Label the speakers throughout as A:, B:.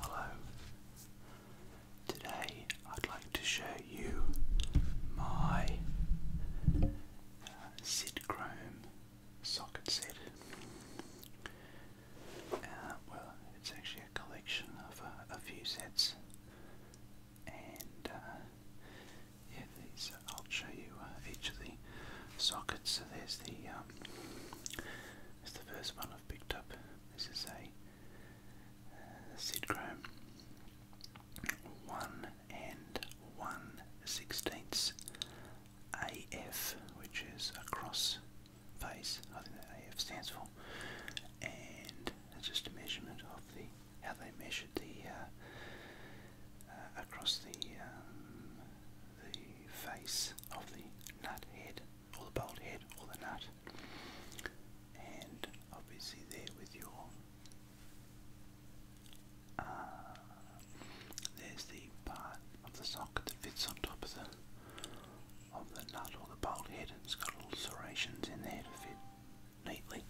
A: Hello. Today I'd like to show you my uh, Chrome socket set. Uh, well, it's actually a collection of uh, a few sets, and uh, yeah, these I'll show you each of the sockets. So there's the um, there's the first one picked up. This is a uh, Sidchrome one and one sixteenths AF, which is across face. I think that AF stands for, and just a measurement of the how they measured the uh, uh, across the um, the face of the nut head or the bolt head or the nut, and obviously there with your uh, there's the part of the socket that fits on top of the of the nut or the bolt head, and it's got little serrations in there to fit neatly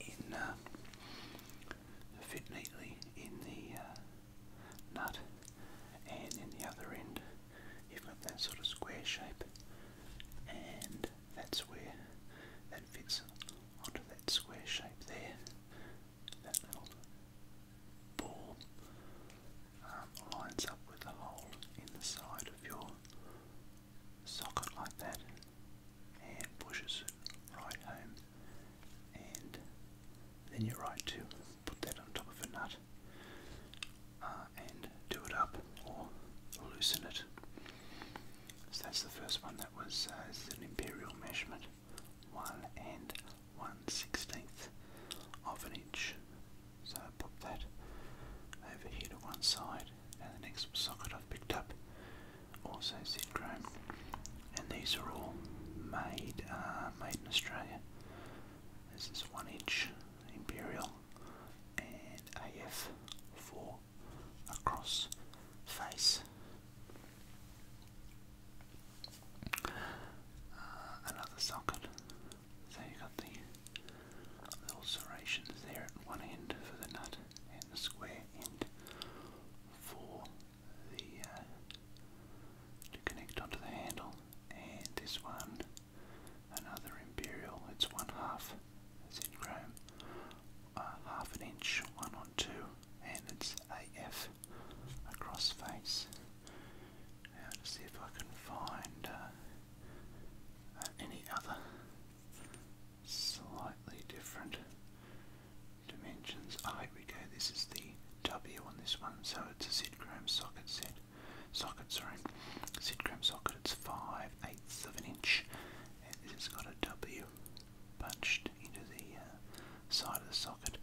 A: in uh, to fit neatly in the uh, nut, and in the other end, you've got that sort of square shape, and that's where that fits onto that square shape there. That little ball um, lines up with the hole in the side of your socket like that and pushes it right home and then you're right too put that on top of a nut uh, and do it up or loosen it. So that's the first one. That was uh, an imperial measurement, one and one sixteenth of an inch. So I pop that over here to one side. and the next socket I've picked up also said chrome, and these are all made uh, made in Australia. This is 1 inch imperial and AF4 across face. Uh, another socket. So you got the little serrations there at one end for the nut and the square end for the uh, to connect onto the handle and this one, another imperial. It's one half, it's in chrome, uh, half an inch, one on two, and it's AF across face. Now to see if I can find uh, any other slightly different dimensions. I we This is the W on this one, so it's a Sidchrome socket set. Socket, sorry. Sidchrome socket, it's 5 eighths of an inch. And this has got a W punched into the uh, side of the socket.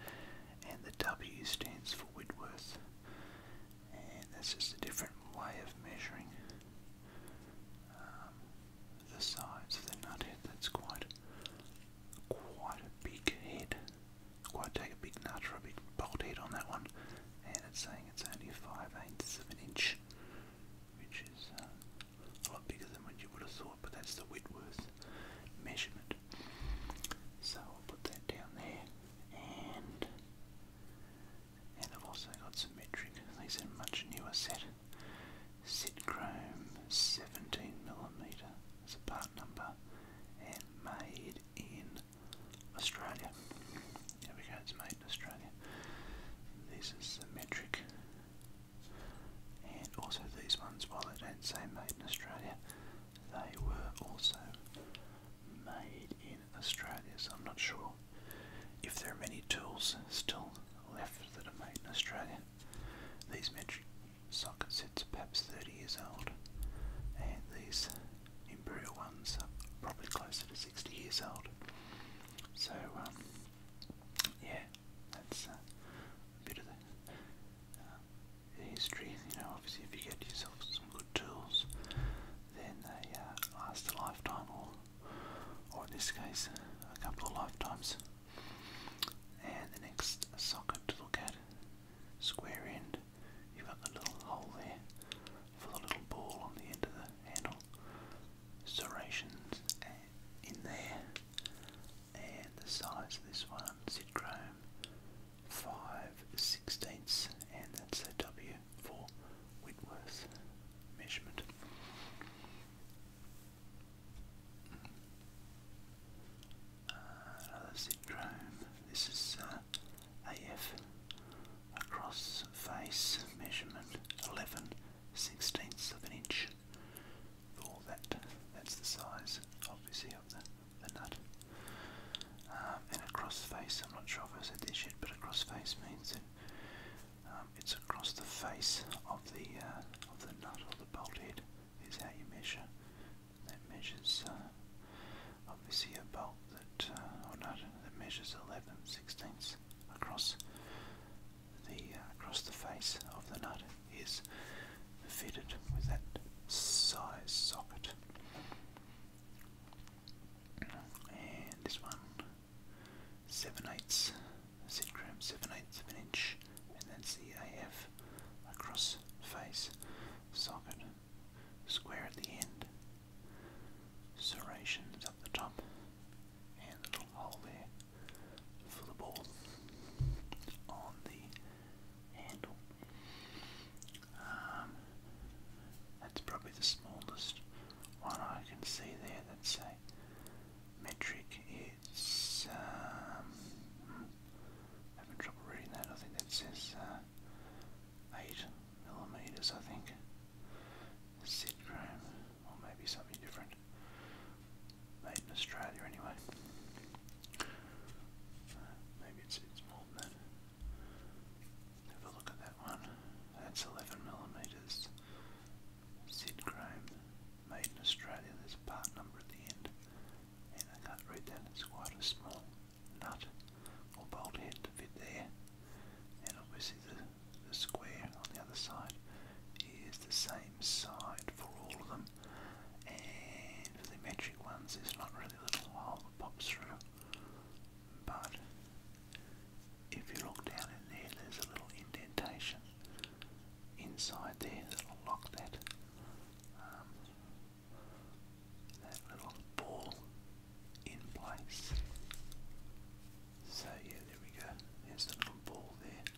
A: And the W stands for Whitworth. And that's just a different way of measuring um, the size of the nut head. That's quite, quite a big head. Quite take a big nut or a big bolt head on that one, and it's saying it's only 5 eighths of an inch, which is uh, a lot bigger than what you would have thought, but that's the Whitworth measurement. So I'll put that down there, and and I've also got some metric. These are much newer set. Sitchrome 17mm as a part number made in Australia. There we go, it's made in Australia. This is metric. And also these ones, while they don't say made in Australia, they were also made in Australia, so I'm not sure if there are many tools still left that are made in Australia. These metric socket sets are perhaps 30 years old, and these Imperial ones are probably closer to 60 years old. So, um, yeah, that's uh, a bit of uh, the, history. You know, obviously, if you get yourself some good tools, then they uh, last a lifetime, or, or in this case, a couple of lifetimes. And the next socket to look at square end, you've got the little hole there for the little ball on the end of the handle. Serrations in there, and the size of this one, Zitchrome 5 sixteenths, and that's a W for Whitworth measurement. Uh, another syndrome. This is uh, AF across face measurement 11 sixteenths of an inch. For that, that's the size, obviously, of the, nut. Um, and a cross face, I'm not sure if I said this yet, but a cross face means that um, it's across the face of the uh, of the nut or the bolt head is how you measure. That measures uh, obviously a bolt that, uh, or no, that measures 11 sixteenths across the uh, across the face of the nut is fitted with that size socket. And this one, 7 eighths, Sitcram 7 eighths of an inch, and that's the AF across face socket, square at the end, serrations at the top, and little hole there for the ball on the handle. Um, that's probably the smallest one I can see there. That's a metric. It's um, having trouble reading that. I think that says uh, 8 millimeters. I think. Sid Chrome, or maybe something different. Made in Australia, anyway. Uh, maybe it's, it's more than that. Have a look at that one. That's 11 millimeters. Sid Chrome, made in Australia. There's a part number at the end and I can't read that, it's quite a small nut or bolt head to fit there and obviously the, square on the other side is the same side for all of them and for the metric ones there's not really a little hole that pops through but if you look down in there there's a little indentation inside there that'll lock that um, that little ball in place. So yeah, there we go. There's the little ball there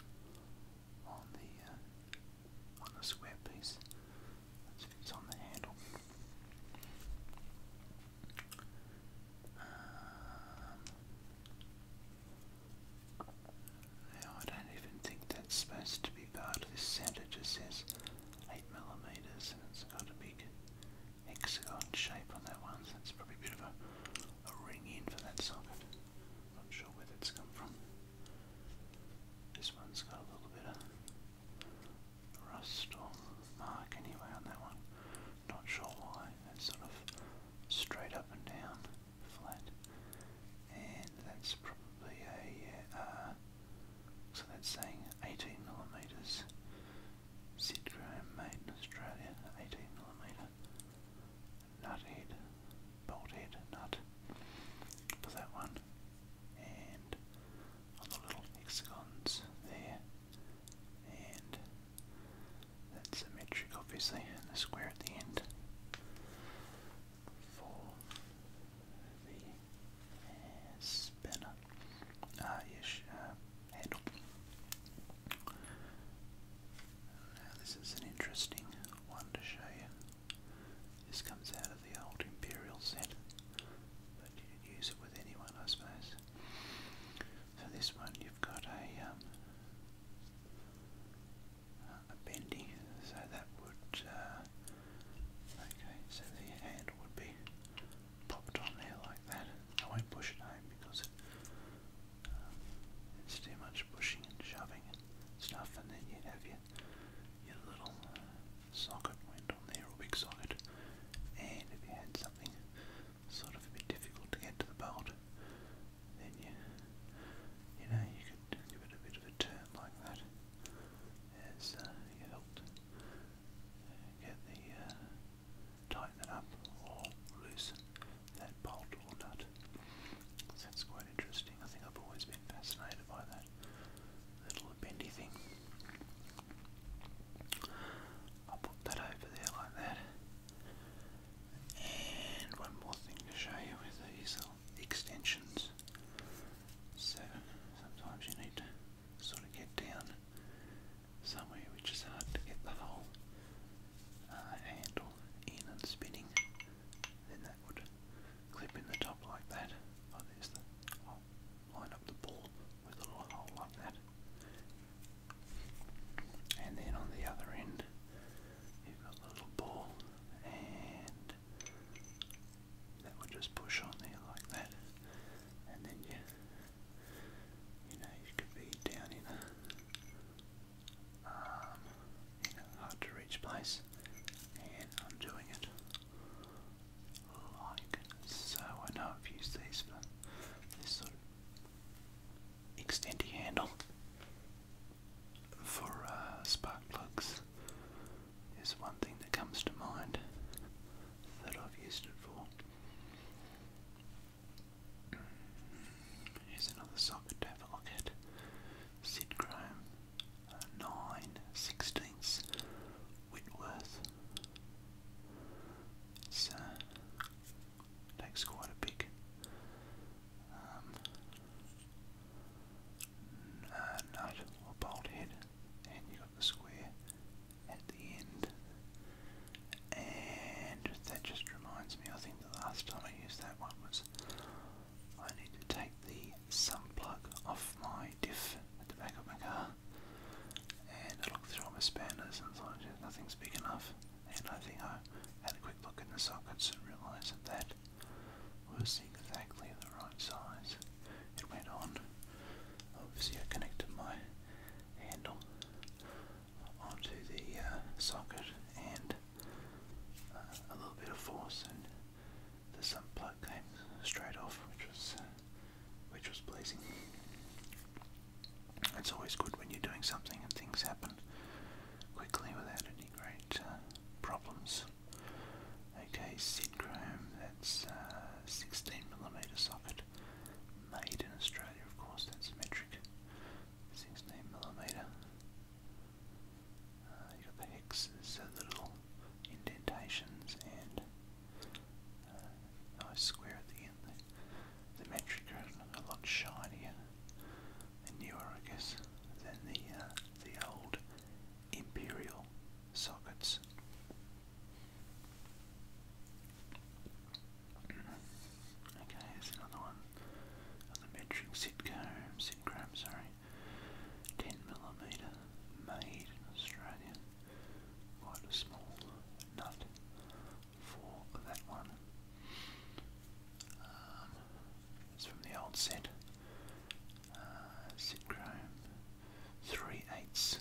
A: on the uh, on the square piece that on the handle. Um, I don't even think that's supposed to be part of this set. It just says 8 millimeters, and it's got a big hexagon shape on that one, so that's probably a bit of a, a ring in for that socket. Not sure where that's come from. This one's got a little bit of rust or mark anyway on that one. Not sure why. It's sort of straight up and down, flat and that's probably a, uh, so that's saying 18 millimeters, set made in Australia, 18mm nut head, bolt head, nut for that one, and on the little hexagons there, and that's symmetric obviously, and the square at the end for the spinner uh, ish uh, Now, this is an interesting one to show you. This comes out of the old Imperial set, but you could use it with anyone, I suppose. So, this one you've got a um, uh, bendy, so that would, uh, okay, so the hand would be popped on there like that. I won't push it home because uh, it's too much pushing and shoving and stuff, and then you have your, your little uh, socket went on there, or big socket, and if you had something sort of a bit difficult to get to the bolt, then you, you know, you could give it a bit of a turn like that has uh, helped uh, get the uh, tighten it up or loosen that bolt or nut. that's quite interesting. I think I've always been fascinated by that little bendy thing. I'll put that over there like that. And one more thing to show you with these extensions. So sometimes you need to sort of get down somewhere which is hard to get the whole uh, handle in and spinning. Then that would clip in the top like that. Oh, there's the. line up the ball with a little hole like that. And then on the other end, you've got the little ball and that will just push on there like that, and then you, you know, you could be down in a, um, in a hard to reach place, and I'm doing it like so. I know I've used these for this sort of extendy handle for uh, spark plugs is one thing that comes to mind that I've used it for. Here's another socket have a look at. Sidchrome uh, 9 sixteenths Whitworth. It's, takes quite a big um, nut or bolt head, and you got the square at the end. And that just reminds me, I think the last time I used that one was I need to take the sum plug off my diff at the back of my car. And I looked through all my spanners and thought nothing's big enough. And I think I had a quick look in the sockets and realised that that was exactly the right size. It went on. Obviously, I connected my handle onto the uh, socket and uh, a little bit of force, and the sump plug came straight off, which was uh, which was pleasing. It's always good when you're doing something and things happen quickly without any great uh, problems. Okay, Synchrome, that's uh, 16 millimeter socket. Made in Australia, of course, that's metric. 16 millimeter. Uh, you got the hexes, so the little indentations, and uh, nice square at the end. The, the metric are a lot shinier and newer, I guess, than the uh, the old imperial sockets. Okay, here's another one of the metric sitcom, sitcom, sorry. 10mm, made in Australia. Quite a small nut for that one. Um, it's from the old set uh, 3 eighths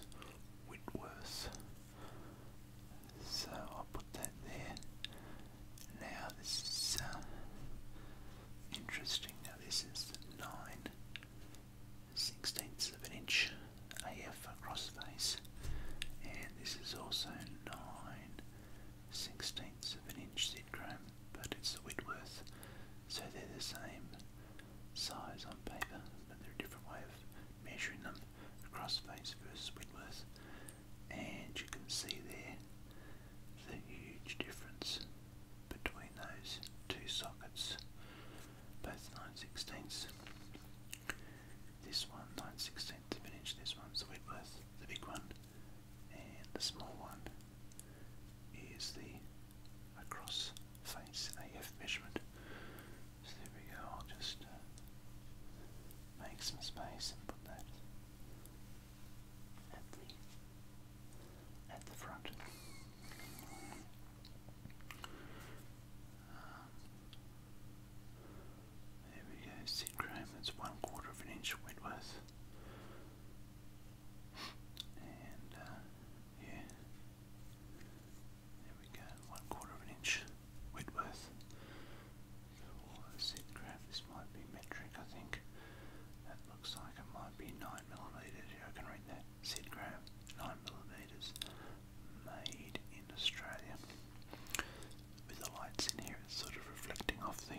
A: Whitworth. So I'll put that there. Now this is uh, interesting. Now this is 9 sixteenths of an inch AF across face, and this is also 9 sixteenths of an inch seed chrome, but it's the Whitworth, so they're the same size on paper, but they're a different way of measuring them. across face versus Whitworth, and you can see there the huge difference between those two sockets, both 9 sixteenths. This one 9 sixteenths of an inch, this one's the Whitworth, the big one, and the small one is the across face AF measurement. So there we go, I'll just uh, make some space and put that at the, at the front. Um, there we go, Sid Graham, that's one quarter of an inch Wentworth. And uh, we go, one quarter of an inch Whitworth. So sit graph, this might be metric, I think. That looks like it might be nine millimeters. Yeah, I can read that. Sid nine millimeters, made in Australia. With the lights in here, it's sort of reflecting off the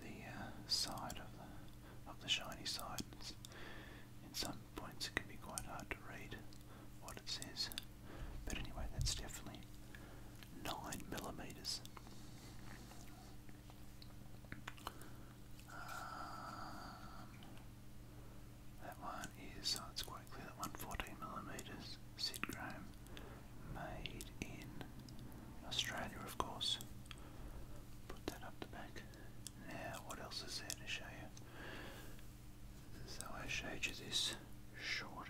A: the uh, side of the, of the shiny side. It's, in some points it can be quite hard to read what it says. But anyway, that's definitely 9 millimeters. Um, that one is, oh, it's quite clear that one, 14 millimeters. Sid Graham, made in Australia, of course. Put that up the back. Now, what else is there to show you? So I showed you this short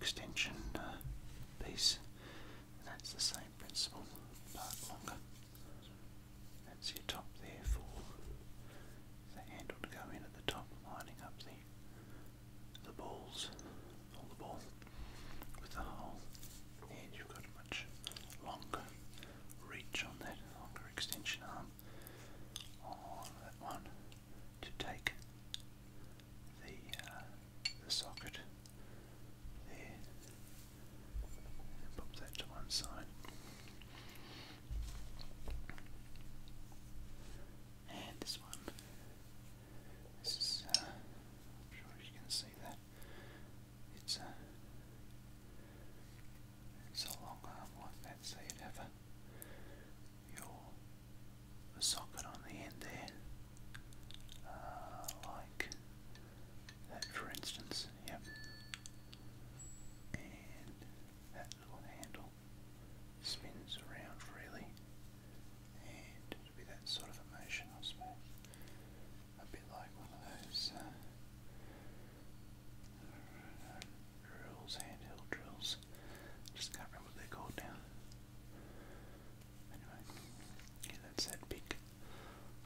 A: extension uh, piece. that's the same principle, but longer. That's your top there for the handle to go in at the top, lining up the the balls holdable with the whole head. You've got a much longer reach on that longer extension arm on that one to take the uh, the socket there pop that to one side. And this one this is, uh, I'm sure you can see that. It's a, uh, it's a long arm like that, so you have your socket on the end there, uh, like that for instance, yep. And that little handle spins around freely and be that sort of emotion, I suppose. A bit like one of those uh, drills, handheld drills. Just can't remember what they're called now. Anyway, yeah, that's that big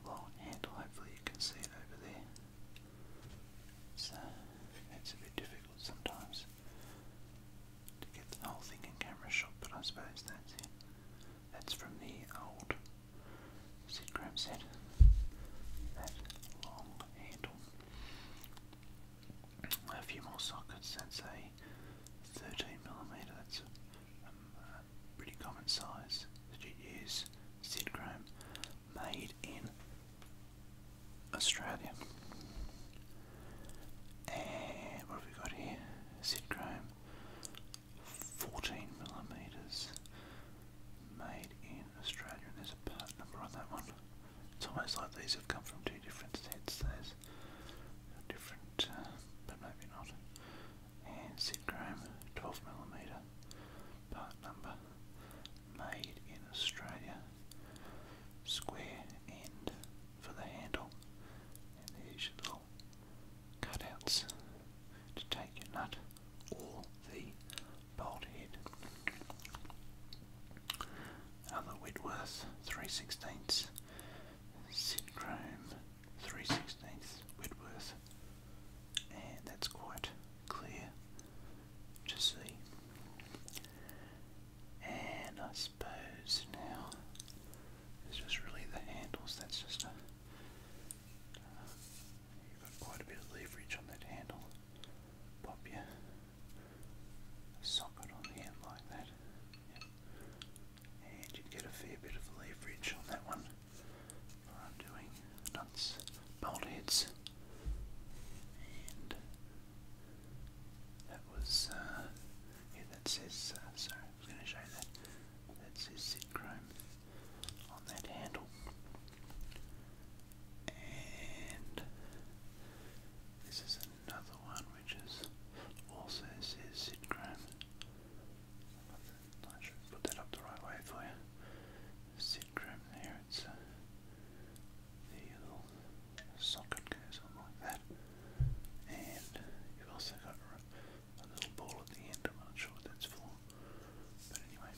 A: long handle. Hopefully, you can see it over there. it's uh, a bit difficult sometimes to get the whole thing in camera shot, but I suppose that's it. That's from the old Sid Graham set. That long handle. A few more sockets. That's a 13mm. That's um, a, pretty common size that you use. Sid Graham, made in Australia. And what have we got here? Sid Graham 14 millimeters, made in Australia. And there's a part number on that one. It's almost like these have come from two different sets. There's a different, uh, but maybe not. And Syndrome 12 millimeter, part number, made in Australia. Square end for the handle, cutouts to take your nut or the bolt head. Another Whitworth 3 16ths, Syndrome 3 16 Whitworth, and that's quite clear to see. And I suppose now it's just really the handles. That's just a. Uh, you've got quite a bit of leverage on that handle. Pop your socket on the end like that. And you get a fair bit of leverage on that one for undoing nuts, bolt heads. And that was, uh, yeah, that says, uh, I was going to show you that. That says Sid on that handle. And this is another one which is also says Sid I should put that up the right way for you. Sid Chrome it's uh, the little socket goes on like that. And you've also got a little ball at the end. I'm not sure what that's for. But anyway,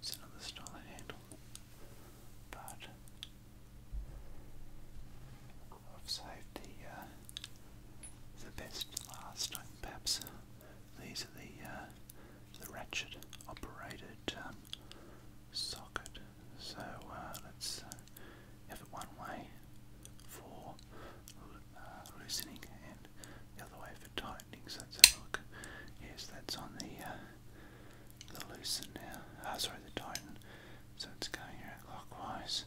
A: it's another style handle. But I've saved the uh, the best last. Perhaps uh, these are the uh, the ratchet operated um, socket. So let's have it one way for uh, loosening and the other way for tightening. So look. Yes, that's on the uh, the loosen now. Ah, sorry, the tighten. So it's going around clockwise,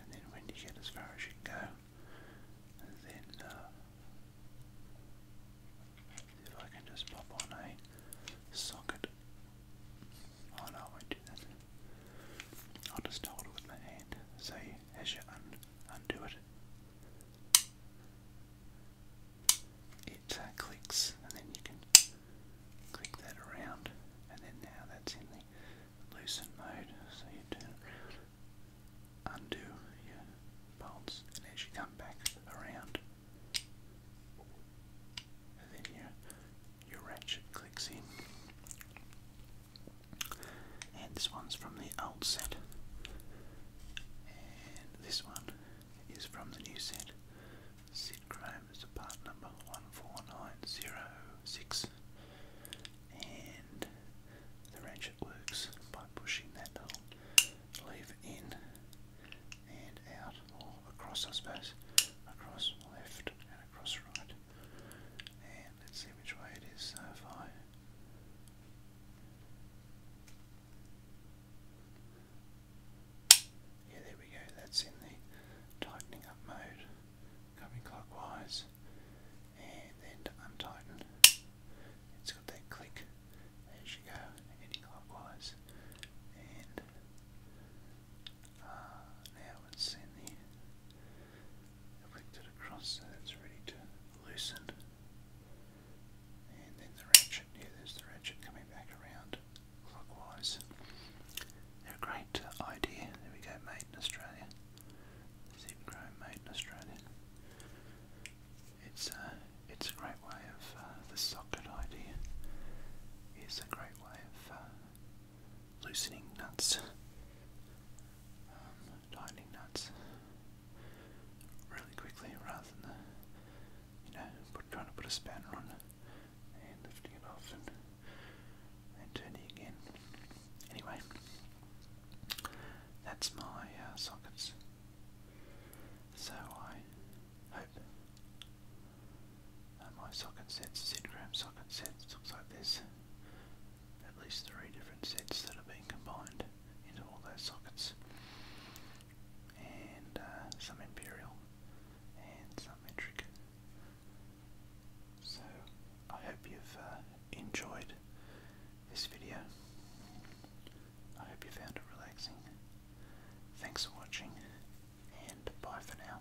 A: and then when you get as far as you can go, then uh, if I can just pop on a socket. Oh no, I will do that. I'll just hold it with my hand. So as you undo it, it uh, clicks, and then you can click that around, and then now that's in the loosen mode. So you undo your bolts, and as you come back around, then you your ratchet clicks in. And this one's from the old set. And this one is from the new set. Sid Chrome is the part number 14906. And the ratchet works by pushing that little lever in and out, or across, I suppose. Across, left, Cross right. And let's see which way it is so far. Yeah, there we go. That's in the tightening up mode. Coming clockwise. And then to untighten. It's got that click as you go, heading clockwise. And Ah, now it's in the flicked across so that's ready to loosen. And then the ratchet, yeah, there's the ratchet coming back around clockwise. a great uh, idea. There we go, made in Australia. Zip Chrome made It's a, uh, it's a great way of, uh, the socket idea is a great way of loosening nuts, um, tightening nuts really quickly rather than, you know, trying to put a spanner on and lifting it off and, and turning again. Anyway, that's my uh, sockets. So I hope uh, my socket sets, Sid socket sets, looks like there's at least three different sets that are being combined into all those sockets. And uh, some imperial and some metric. So I hope you've uh, enjoyed this video. I hope you found it relaxing. Thanks for watching and bye for now.